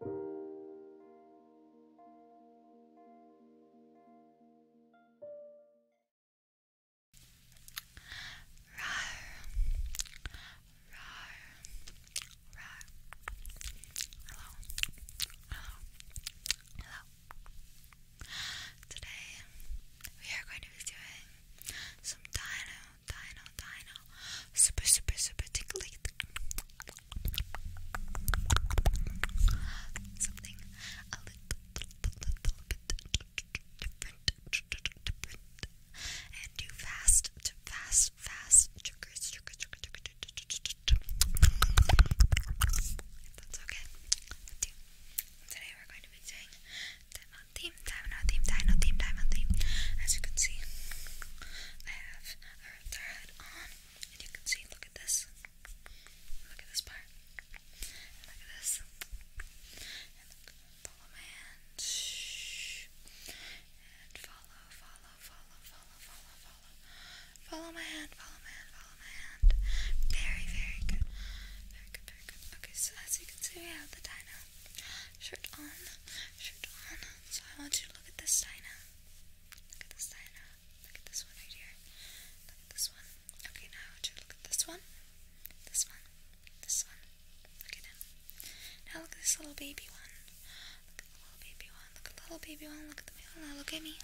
Hello. Hello. Hello. Today we are going to be doing some dino, dino, dino, super, super, super tickly Something a little, little bit different, and do fast, fast, fast that's okay. you. Today we're going to be doing time theme, time theme, time theme, time theme. As you can see, I have her, on, and you can see, look at this, look at this part, look at this, follow my hand, Shh. and follow, follow, follow, follow, follow, follow, follow my hand, follow my hand, follow my hand, very, very good, very good, very good, okay, so as you can see, we have the dino shirt on, shirt on, so I want you Look at this Dinah. Look at this Dinah. Look at this one right here. Look at this one. Okay, now look at this one. This one. This one. Look at him. Now look at this little baby one. Look at the little baby one. Look at the little baby one. Look at the Look at me.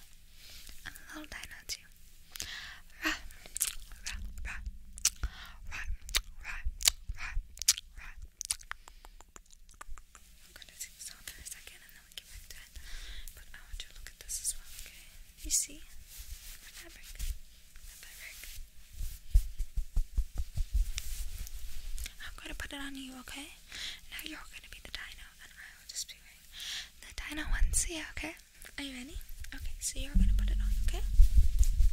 I'm a little Dinah too. Rah, rah, rah, rah, rah, rah, I'm gonna take this off for a second and then we can back to it. But I want you to look at this as well, okay? You see? My fabric. I'm gonna put it on you, okay? Now you're gonna be the dino and I will just be wearing the dino ones, yeah, okay? Are you ready? Okay, so you're gonna put it on, okay?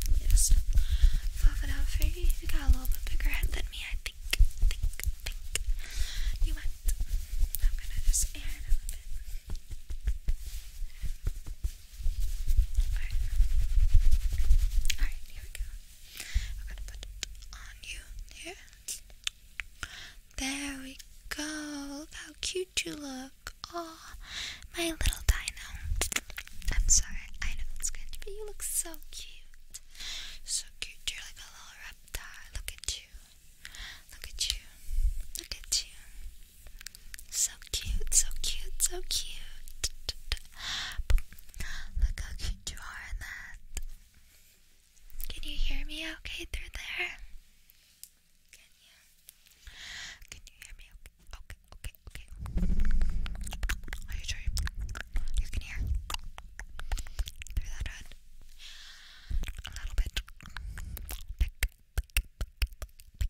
Let me it out for you you got a little bit bigger head than me, I think, think, think. You might. I'm gonna just air a little bit. Alright, here we go. I'm gonna put it on you here. There we go. Look how cute you look. Oh, my little dino. I'm sorry, I know it's good, but you look so cute. So cute, you're like a little reptile. Look at you. Look at you. Look at you. So cute, so cute, so cute. Look how cute you are in that. Can you hear me okay through there? Can you? Can you hear me okay? Okay, okay, okay. Are you sure you can hear through that hood? A little bit. Tick, tick, tick, tick, tick, tick,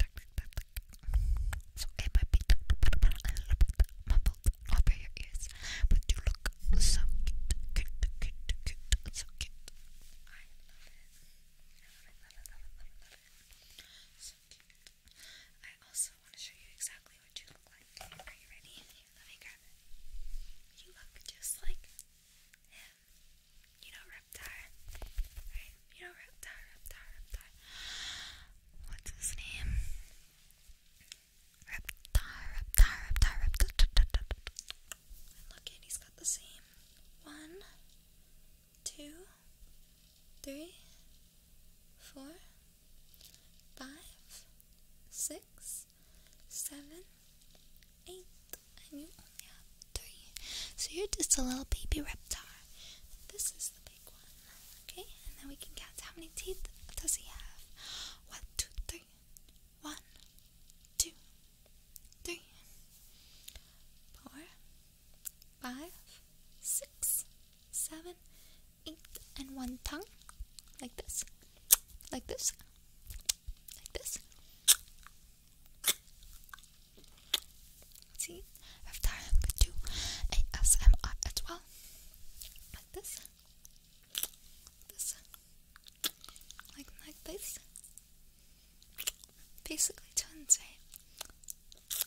tick, a little bit over your ears, but you look so cute, cute, cute, cute, so cute. I love it. I also want to show you exactly what you look like. Are you ready? let me grab it. You look just like him. You know Reptar, right? You know Reptar, Reptar, Reptar. What's his name? Reptar, Reptar, Reptar, Reptar. look at he's got the same one, two, three, four, five, six, seven, eight, and you only have three. So you're just a little baby reptar. This is the big one, okay? And then we can count how many teeth does he have? One, two, three. One, two, three, four, five, six, seven, eight, and one tongue, like this, like this, like this. See, if Tara could do ASMR as well, like this, this, like like this. Basically twins, right?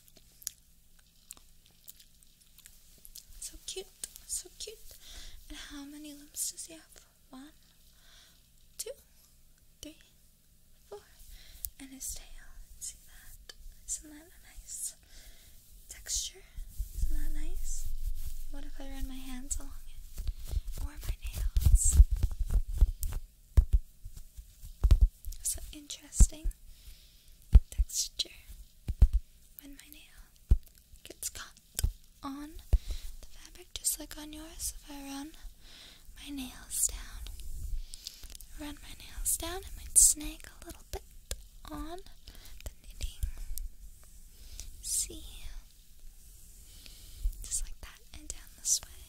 So cute, so cute. And how many limbs does he have? One, two, three, four. And his tail. See that? Isn't that a nice texture? Isn't that nice? What if I run my hands along it? Or my my nails. So interesting texture when my nail gets caught on the fabric, just like on yours. If I run my nails down, run my nails down, it might snag a little bit on the knitting. See, just like that, and down this way.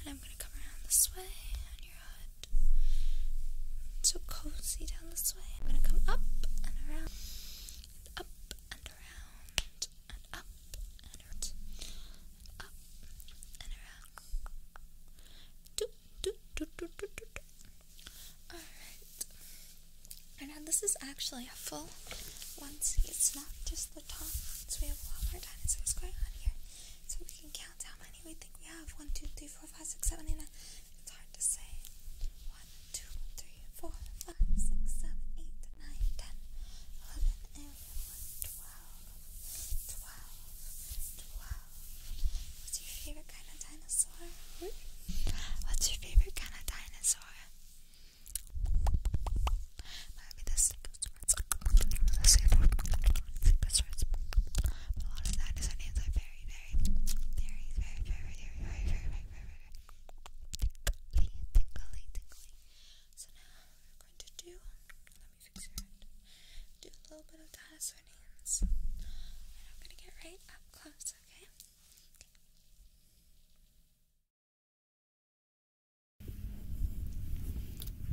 And I'm gonna come around this way on your hood. so cozy down this way. I'm gonna come up and around, up and around, and up and around, up and around. Do, do, do, do, do, do, do. Alright, and now this is actually a full one seat. It's not just the top. So we have a lot more dinosaurs going on here. So we can count how many we think we have. One, two, three, four, five, six, seven, eight, nine. It's hard to say. One, two, three, four, five, six, seven, eight, nine, ten, eleven, and we have one, twelve, twelve, twelve. What's your favorite kind of dinosaur? What's your favorite kind of dinosaur? Maybe the secret the secret But a lot of that is names are very, very, very, very, very, very, very, very, very, very, very tingly, tingly, So now we're going to do, let me fix your head, do a little bit of dinosaur names. And I'm going to get right up close, okay?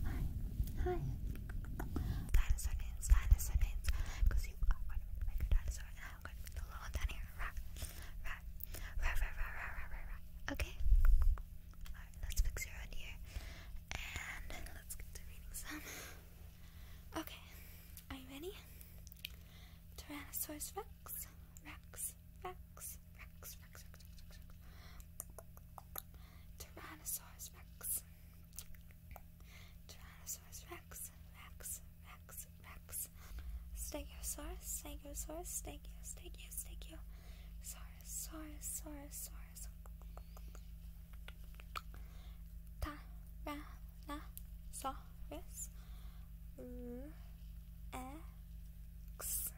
Hi, hi. Dinosaur names, because you are going to dinosaur, and I'm going to make the little one Okay. Alright, let's fix your head here, and let's get to reading some. Okay, are you ready? Tyrannosaurus Rex. Rex. Rex. Rex. Rex. Rex. Rex. Rex. Rex. Tyrannosaurus Rex. Tyrannosaurus Rex. Rex. Rex. Rex. Stegosaurus. Stegosaurus. Stegio. Stegio. Stegio. Saurus. Saurus. Saurus. Saurus. Tyrannosaurus dinosaurs mm, X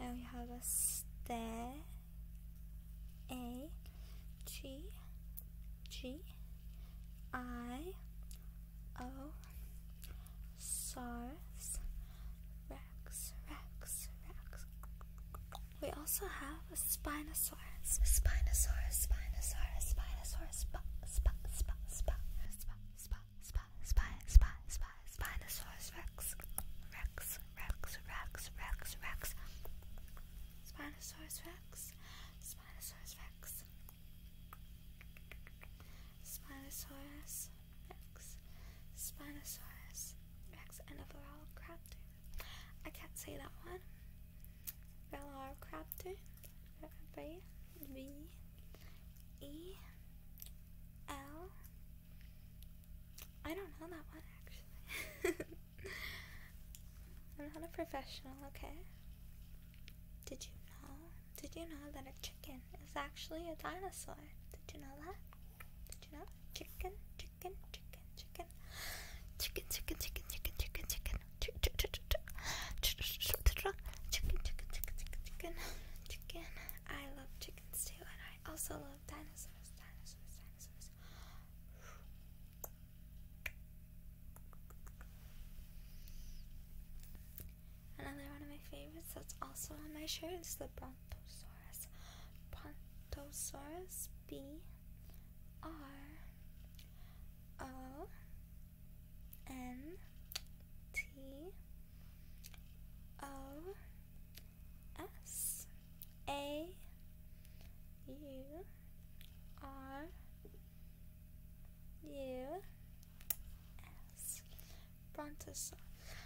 and we have a stair SARS Rex Rex Rex. We also have have a Spinosaurus. Spinosaurus, Spinosaurus, Spinosaurus, spa, spa, spa, spa, spa, spa, spa, spa, spa, spa, Spinosaurus Rex, Rex, Rex, Rex, Rex, Rex, Spinosaurus Rex, Spinosaurus Rex, Spinosaurus Rex, Spinosaurus Rex, and a Velociraptor. I can't say that one. Velociraptor V V E L I don't know that one actually. I'm not a professional, okay? Did you know? Did you know that a chicken is actually a dinosaur? Did you know that? Did you know? chicken chicken, chicken, chicken, chicken, chicken, chicken, chicken, chicken, chicken, chicken, chicken, chicken, chicken. I love chickens too, and I also love dinosaurs, dinosaurs, dinosaurs. Another one of my favorites that's also on my shirt is the Brontosaurus. Tosaurus B R O N T O S A U R U S Brontosaurus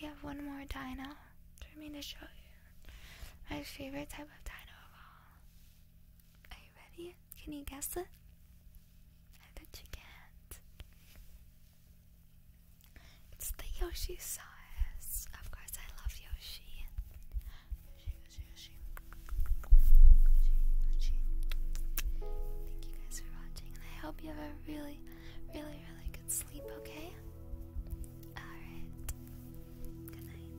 We have one more dino for me to show you. My favorite type of dino of all. Are you ready? Can you guess it? I bet you can't. It's the Yoshi size. Of course, I love Yoshi. Yoshi, Yoshi, Yoshi. Yoshi, Yoshi. Thank you guys for watching, and I hope you have a really really, really good sleep, okay? Alright. Good night.